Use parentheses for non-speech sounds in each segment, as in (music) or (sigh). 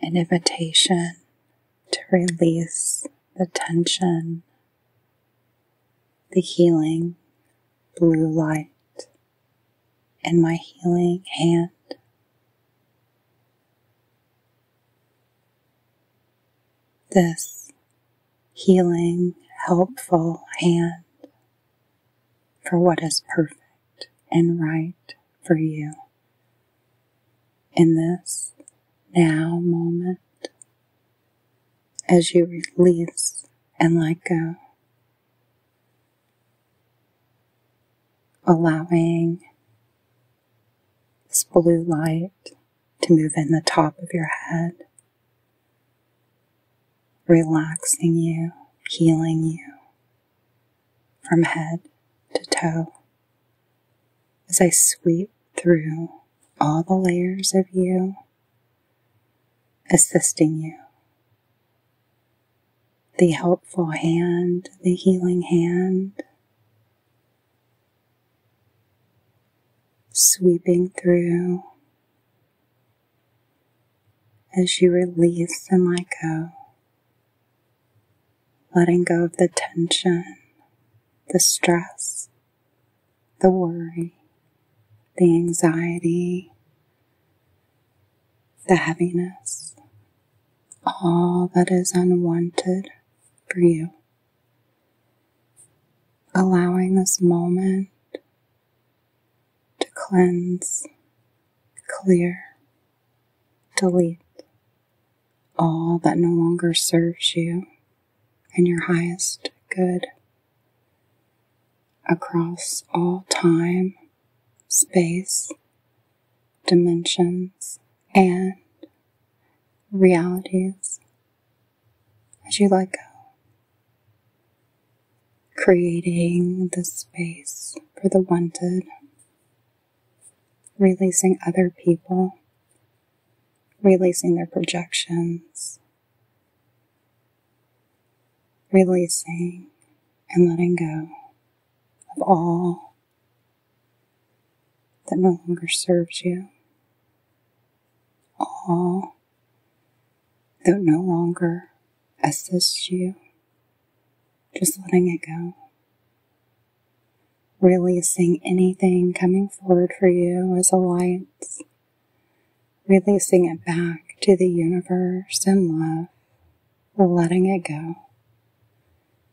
an invitation to release the tension, the healing blue light and my healing hand. This healing, helpful hand for what is perfect and right for you in this now moment as you release and let go, allowing this blue light to move in the top of your head, relaxing you, healing you from head to toe as I sweep through all the layers of you assisting you. The helpful hand, the healing hand, sweeping through as you release and let go letting go of the tension, the stress, the worry, the anxiety, the heaviness, all that is unwanted for you. Allowing this moment to cleanse, clear, Delete all that no longer serves you and your highest good across all time, space, dimensions, and realities as you let go creating the space for the wanted, releasing other people, releasing their projections, releasing and letting go of all that no longer serves you, all that no longer assists you just letting it go. Releasing anything coming forward for you as a light, releasing it back to the universe in love, letting it go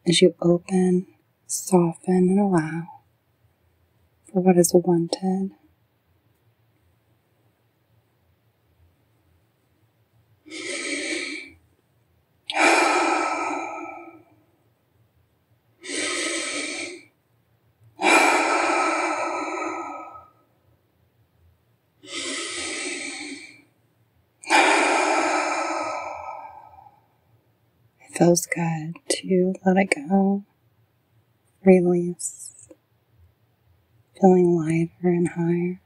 as you open, soften, and allow for what is wanted. It feels good to let it go, release, feeling lighter and higher,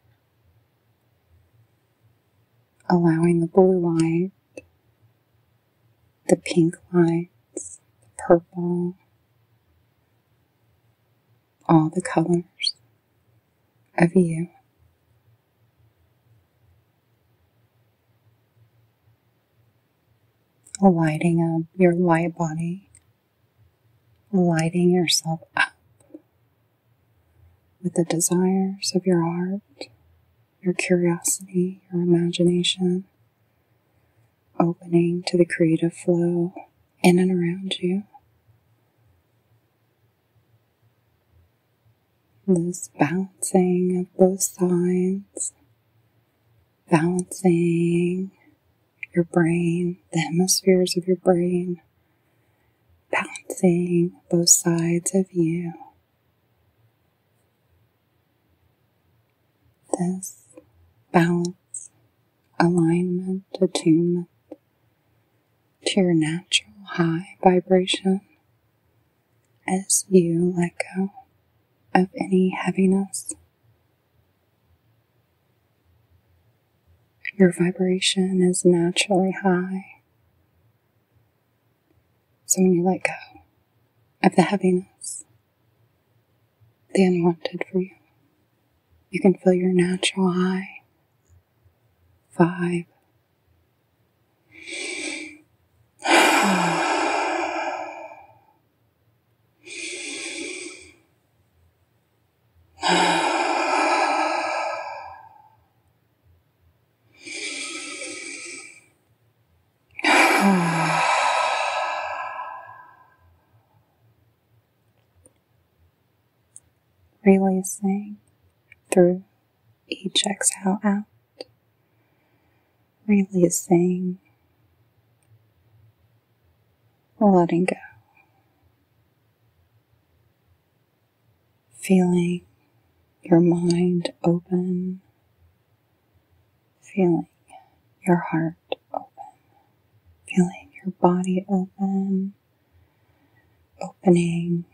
allowing the blue light, the pink lights, the purple, all the colors of you. Lighting up your light body lighting yourself up with the desires of your heart, your curiosity, your imagination, opening to the creative flow in and around you. This bouncing of both sides balancing your brain, the hemispheres of your brain, balancing both sides of you. This balance, alignment, attunement to your natural high vibration as you let go of any heaviness your vibration is naturally high. So when you let go of the heaviness, the unwanted for you, you can feel your natural high. Five. (sighs) Releasing through each exhale out, releasing letting go, feeling your mind open, feeling your heart open, feeling your body open, opening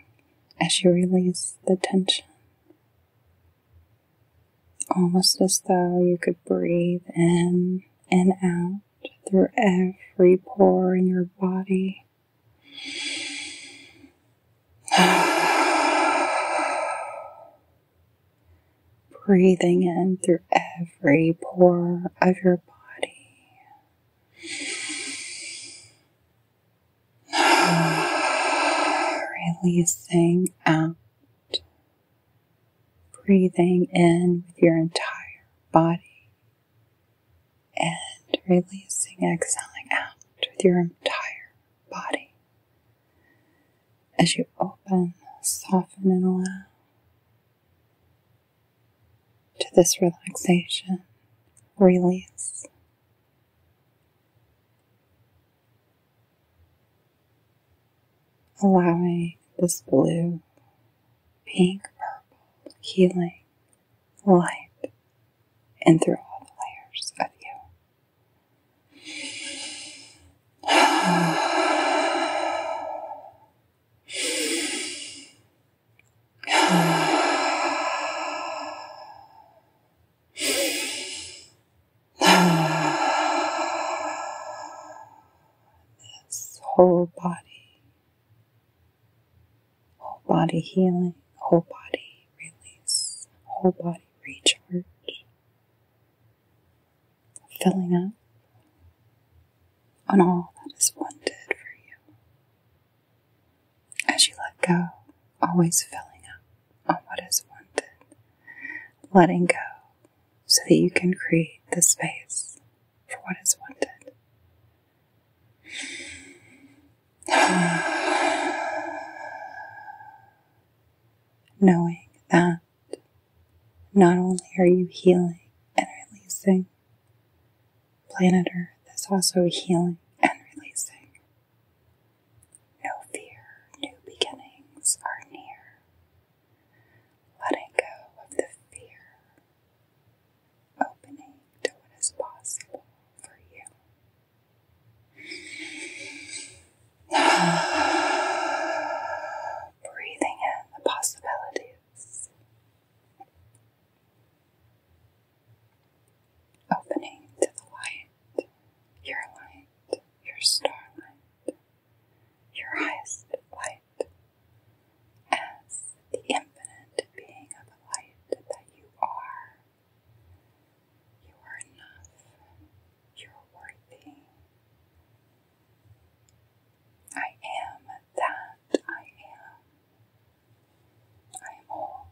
as you release the tension almost as though you could breathe in and out through every pore in your body. (sighs) Breathing in through every pore of your body. (sighs) Releasing out breathing in with your entire body and releasing, exhaling out with your entire body as you open, soften, and allow to this relaxation, release allowing this blue, pink, purple, healing light in through all the layers of you. (sighs) (sighs) That's whole body, whole body healing, whole body release, whole body recharge, filling up on all that is wanted for you. As you let go, always filling up on what is wanted letting go so that you can create the space for what is wanted. (sighs) Knowing that not only are you healing and releasing, planet Earth is also healing and releasing. No fear, new beginnings are near. Letting go of the fear, opening to what is possible for you. (sighs) Breathing in the possibilities, opening to the light light, your light, your starlight, your highest light, as the infinite being of light that you are. You are enough, you're worthy. I am that I am. I am all.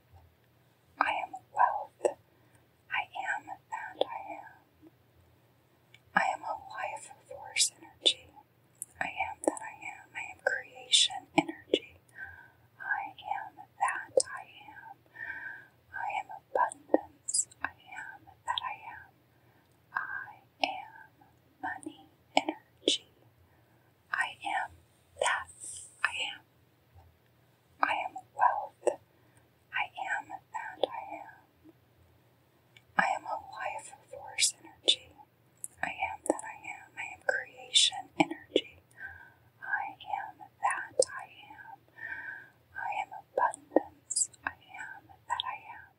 I am wealth. I am that I am. I am a life force energy. I am that I am. I am creation energy. I am that I am. I am abundance. I am that I am. I am money energy. I am that I am. I am wealth. I am that I am. I am a life force energy. I am that I am. I am creation energy. I am that I am. I am abundance. I am that I am.